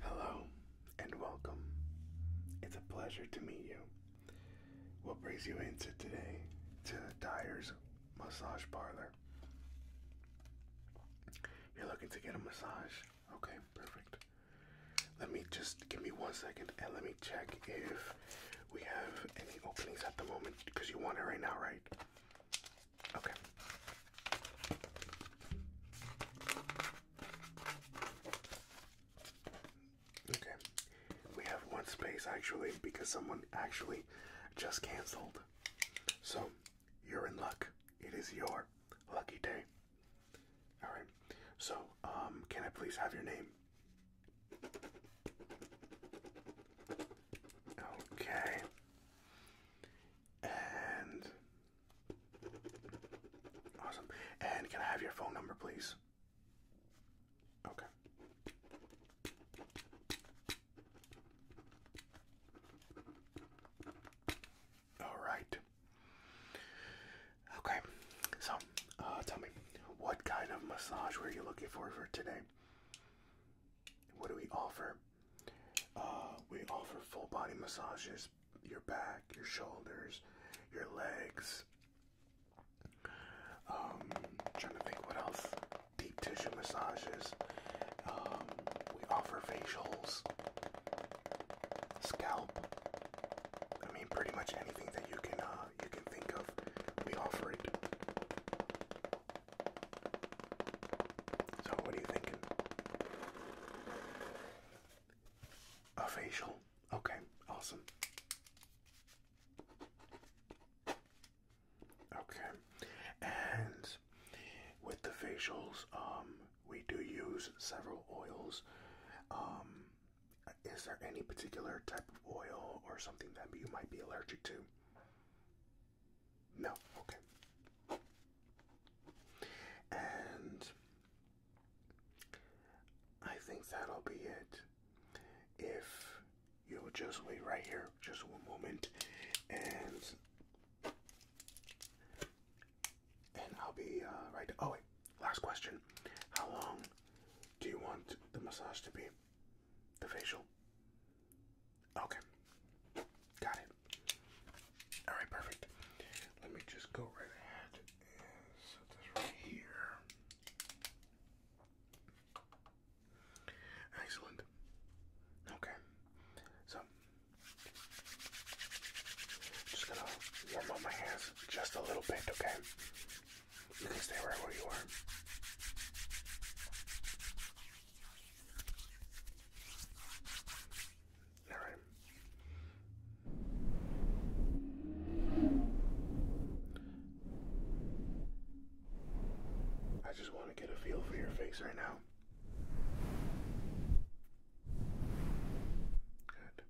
Hello and welcome. It's a pleasure to meet you. What brings you into today to Dyer's Massage Parlor? You're looking to get a massage? Okay, perfect. Let me just give me one second and let me check if we have any openings at the moment because you want it right now, right? Okay. Okay. We have one space actually because someone actually just canceled. So, you're in luck. It is your lucky day. All right. So, um can I please have your name? Okay. And Awesome. And can I have your phone number, please? Okay. All right. Okay. So, uh, tell me, what kind of massage were you looking for for today? What do we offer? Uh, we offer full body massages your back, your shoulders, your legs. Um, trying to think what else. Deep tissue massages. Um, we offer facials, scalp. I mean, pretty much anything that you can uh, you can think of, we offer it. So, what are you thinking? A facial. Okay, awesome. Okay, and with the facials, um, we do use several oils. Um, is there any particular type of oil or something that you might be allergic to? No, okay. And I think that'll be it. If you'll just wait right here, just one moment, and and I'll be uh, right. Oh wait, last question: How long do you want the massage to be? The facial? Okay. Got it. Alright, perfect. Let me just go right ahead and set this right here. Excellent. Okay. So, just gonna warm up my hands just a little bit, okay? You can stay right where you are. All right. I just want to get a feel for your face right now. Good.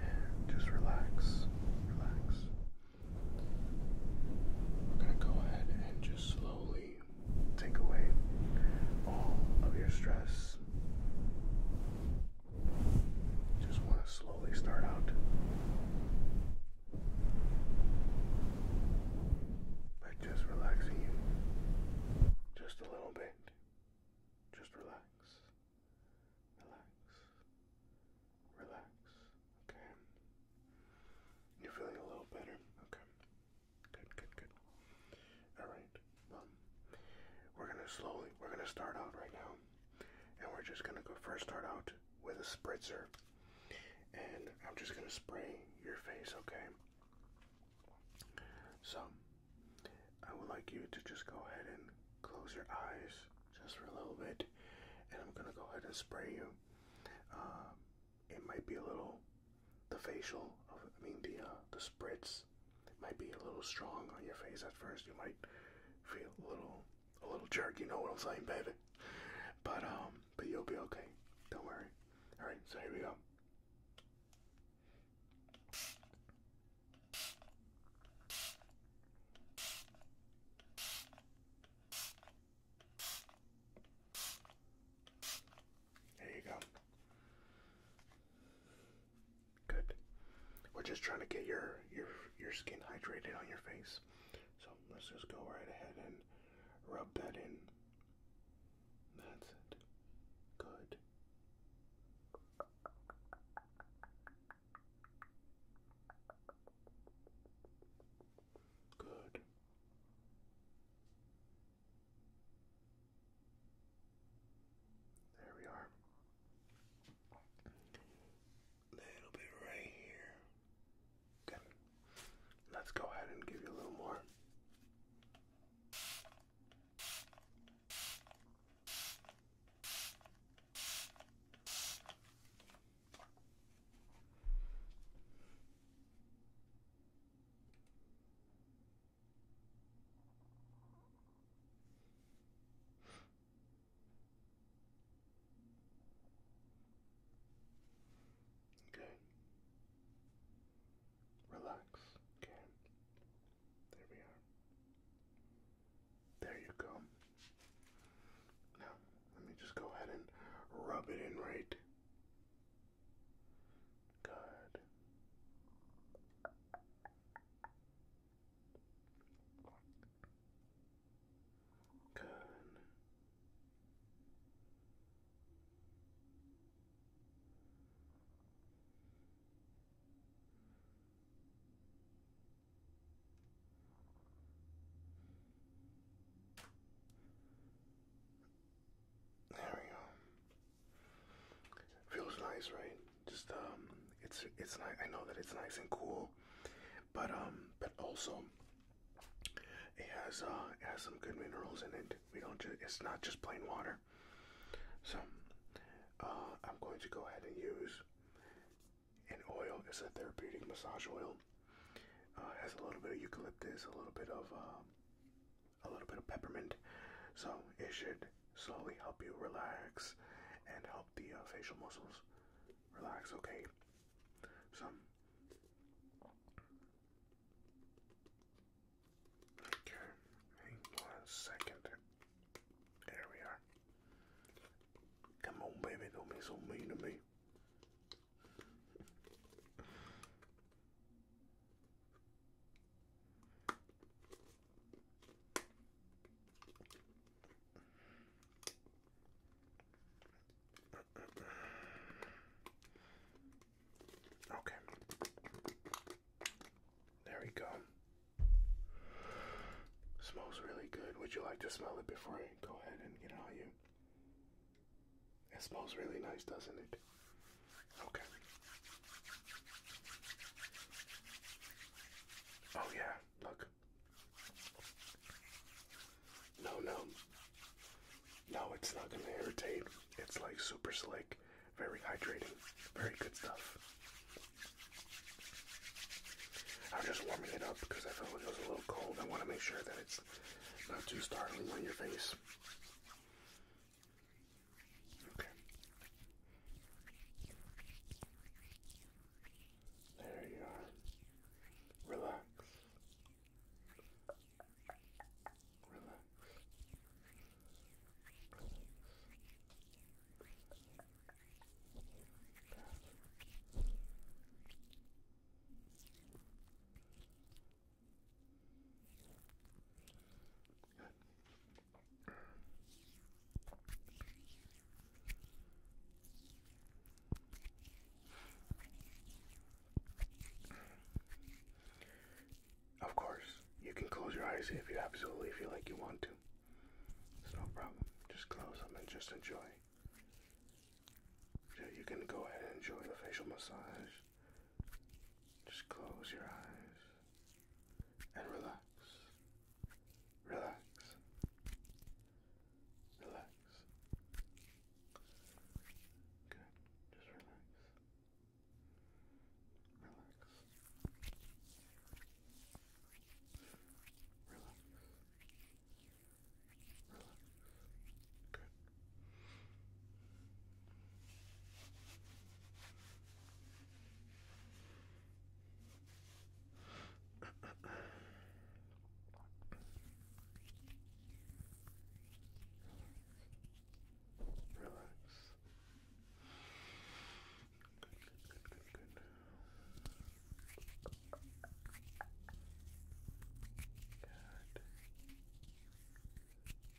And just relax. Relax. We're going to go ahead and just slowly take away all of your stress. Just want to slowly start out by just relaxing you just a little bit. Just relax. Relax. Relax. Okay. You're feeling a little better? Okay. Good, good, good. Alright. Well, um, we're going to slowly, we're going to start out right now. And we're just going to go first start out with a spritzer. And I'm just going to spray your face, okay? So, I would like you to just go ahead and close your eyes just for a little bit. And I'm going to go ahead and spray you um, it might be a little, the facial, I mean the uh, the spritz, might be a little strong on your face at first. You might feel a little a little jerk. You know what I'm saying, baby. But um, but you'll be okay. Don't worry. All right, so here we go. There you go. Good. We're just trying to get your your your skin hydrated on your face. So let's just go right ahead and rub that in. That's it. Good. Good. There we are. Little bit right here. Good. Let's go ahead and give you a little more. Okay. Relax. Okay. There we are. There you go. Now, let me just go ahead and rub it in right. Good. Good. There we go. Feels nice, right? Just um, it's it's nice. I know that it's nice and cool, but um, but also it has uh, has some good minerals in it. We don't just it's not just plain water. So uh, I'm going to go ahead and use and oil. It's a therapeutic massage oil. Uh, has a little bit of eucalyptus, a little bit of um, a little bit of peppermint. So it should slowly help you relax and help the uh, facial muscles relax. Okay. So. Okay, one second. There we are. Come on, baby, don't be so mean to me. Okay. There we go. Smells really good. Would you like to smell it before I go ahead and get it on you? It smells really nice, doesn't it? Okay. Oh yeah, look. No, no. No, it's not gonna irritate. It's like super slick, very hydrating, very good stuff. I'm just warming it up because I felt it was a little cold. I want to make sure that it's not too startling on your face. Okay. There you are. Relax. Relax. Of course, you can close your eyes if you absolutely feel like you want to no problem. Just close them and just enjoy. Yeah, you can go ahead and enjoy the facial massage. Just close your eyes and relax. Relax. Relax. Good. Just relax. Relax. Relax. Relax. Good. Relax. Relax.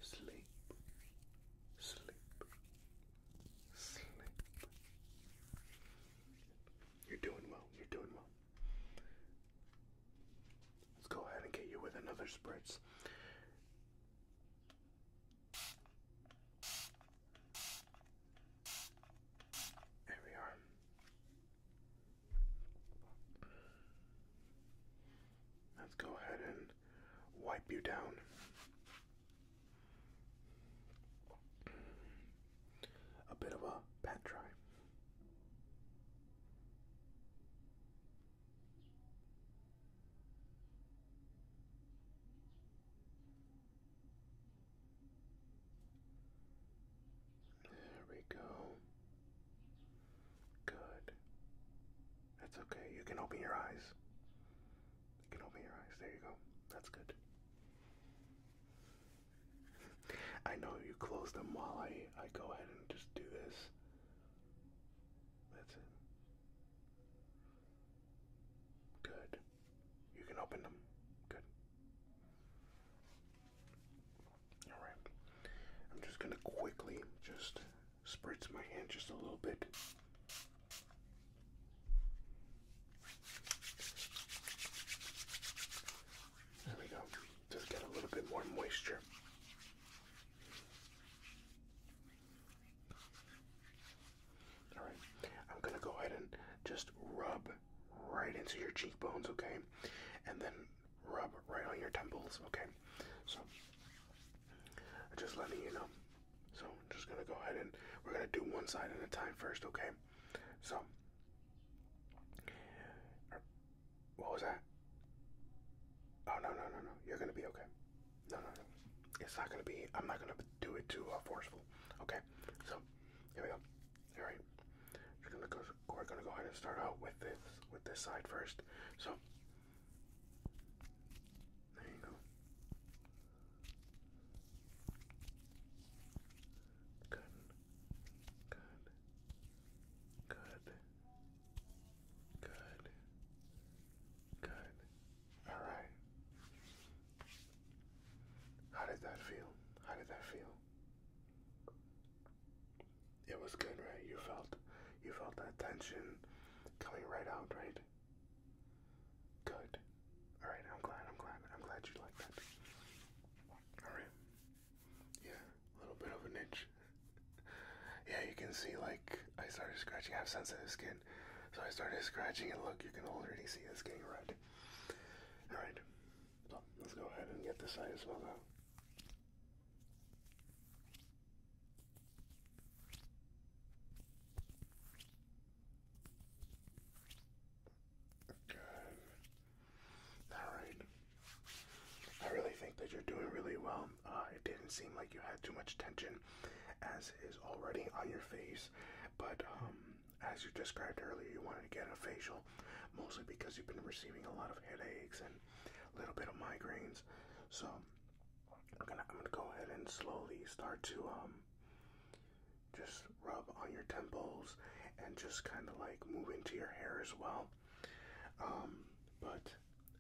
Sleep. Sleep. Sleep. You're doing well. You're doing well. Let's go ahead and get you with another spritz. There we are. Let's go ahead and wipe you down. A bit of a pat dry. There we go. Good. That's okay. You can open your eyes. You can open your eyes. There you go. That's good. I know you close them while I, I go ahead and just do this. That's it. Good. You can open them. Good. All right. I'm just gonna quickly just spritz my hand just a little bit. There we go. Just get a little bit more moisture. All right. I'm going to go ahead and just rub right into your cheekbones, okay? And then rub right on your temples, okay? So, just letting you know. So, I'm just going to go ahead and we're going to do one side at a time first, okay? So, er, what was that? Oh, no, no, no, no. You're going to be okay. No, no, no. It's not gonna be. I'm not gonna do it too uh, forceful. Okay. So here we go. All right. We're gonna go. We're gonna go ahead and start out with this with this side first. So there you go. Good. Good. Good. Good. Good. All right. How did that feel? How did that feel? It was good, right? You felt you felt that tension coming right out, right? Good. All right, I'm glad. I'm glad. I'm glad you like that. All right. Yeah, a little bit of an itch. yeah, you can see like I started scratching. I have sensitive skin. So I started scratching and look, you can already see it's getting red. Alright, let's go ahead and get this side as well now. Good. Alright. I really think that you're doing really well. Uh, it didn't seem like you had too much tension as is already on your face. But um, as you described earlier, you wanted to get a facial mostly because you've been receiving a lot of headaches and a little bit of migraines. So I'm gonna go ahead and slowly start to um, just rub on your temples and just kind of like move into your hair as well. Um, but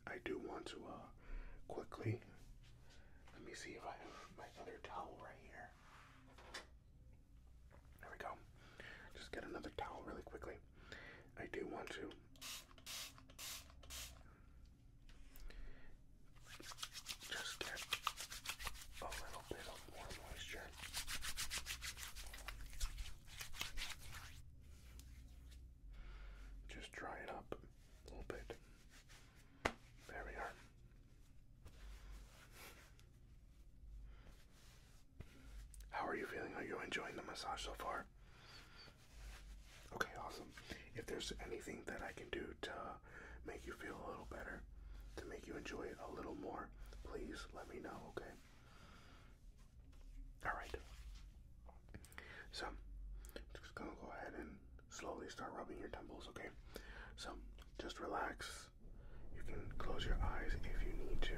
I do want to uh, quickly. Let me see if I have my other towel right here. There we go. Just get another towel really quickly. I do want to just get a little bit of more moisture. Just dry it up a little bit. There we are. How are you feeling? Are you enjoying the massage so far? Okay, awesome. If there's anything that I can do to make you feel a little better, to make you enjoy it a little more, please let me know, okay? Alright. So, I'm just gonna go ahead and slowly start rubbing your temples, okay? So, just relax. You can close your eyes if you need to.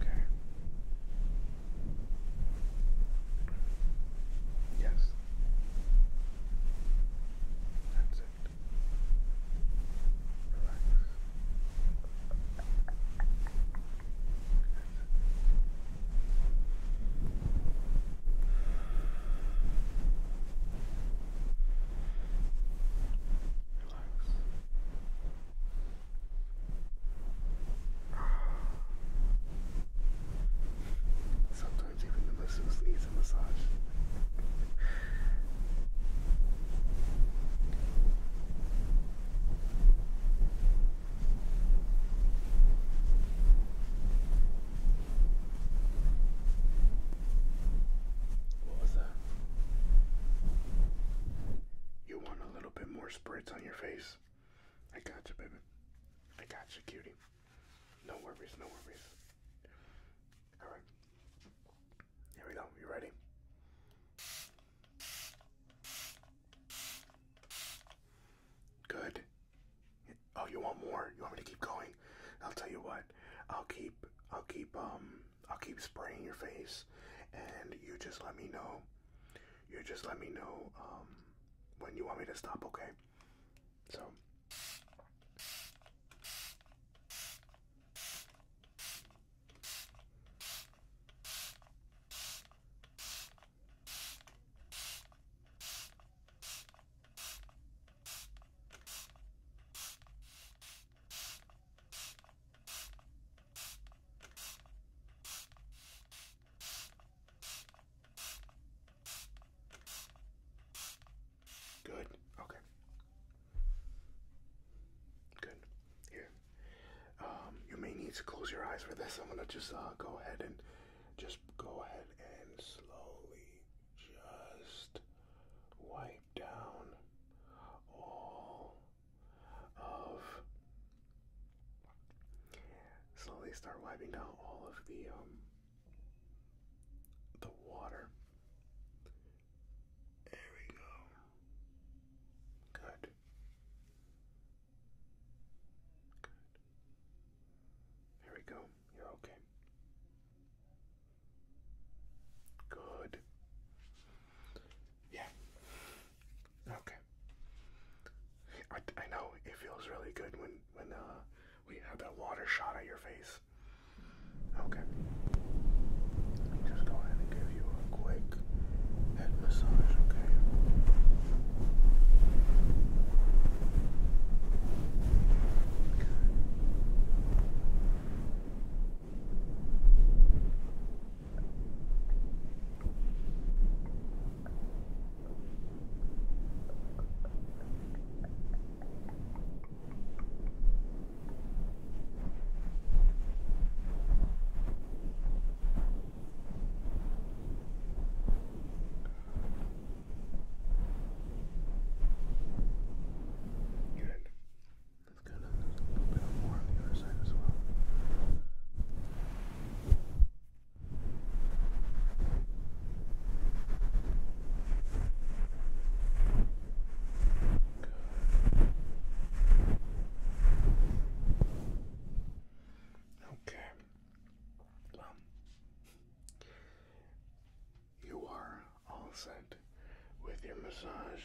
Okay. Yes. That's it. Relax. Sometimes even the masseuse needs a massage. What was that? You want a little bit more spritz on your face? I got you, baby. I got you, cutie. No worries, no worries. All right. Here we go. You ready? Good. Oh, you want more? You want me to keep going? I'll tell you what. I'll keep I'll keep um I'll keep spraying your face and you just let me know. You just let me know um when you want me to stop, okay? So Good. Okay. Good. Here. Um, you may need to close your eyes for this. I'm gonna just uh, go ahead and just go ahead and slowly just wipe down all of. Slowly start wiping down all of the um, the water. There we go. Good. Good. There we go. You're okay. Good. Yeah. Okay. I, I know it feels really good when when uh we have that water shot at your face. Okay. Just go ahead and give you a quick head massage, okay? Good. Let's go to a little bit more on the other side as well. Good. Okay. you are all set with your massage.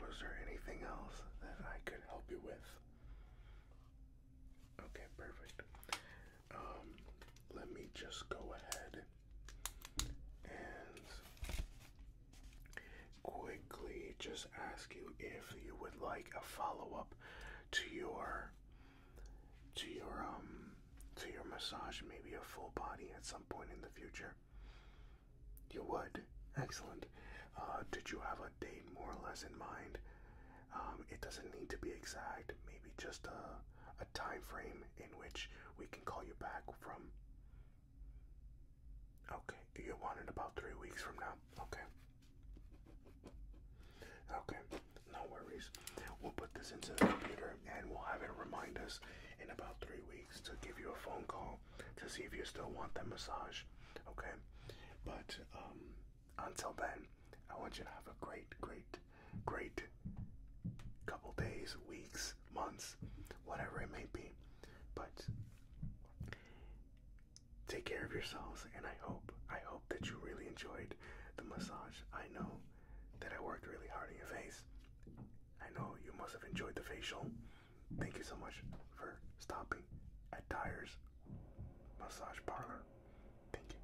Was there anything else that I could help you with? Okay, perfect. Um, let me just go ahead and quickly just ask you if you would like a follow-up to your to your um to your massage maybe a full body at some point in the future you would excellent uh, did you have a date more or less in mind um, it doesn't need to be exact maybe just a time frame in which we can call you back from. Okay, you want it about three weeks from now. Okay. Okay, no worries. We'll put this into the computer and we'll have it remind us in about three weeks to give you a phone call to see if you still want that massage. Okay, but um, until then, I want you to have a great, great great couple days, weeks, months, whatever it may be. But take care of yourselves and I hope I hope that you really enjoyed the massage. I know that I worked really hard on your face. I know you must have enjoyed the facial. Thank you so much for stopping at Dyer's Massage Parlor. Thank you.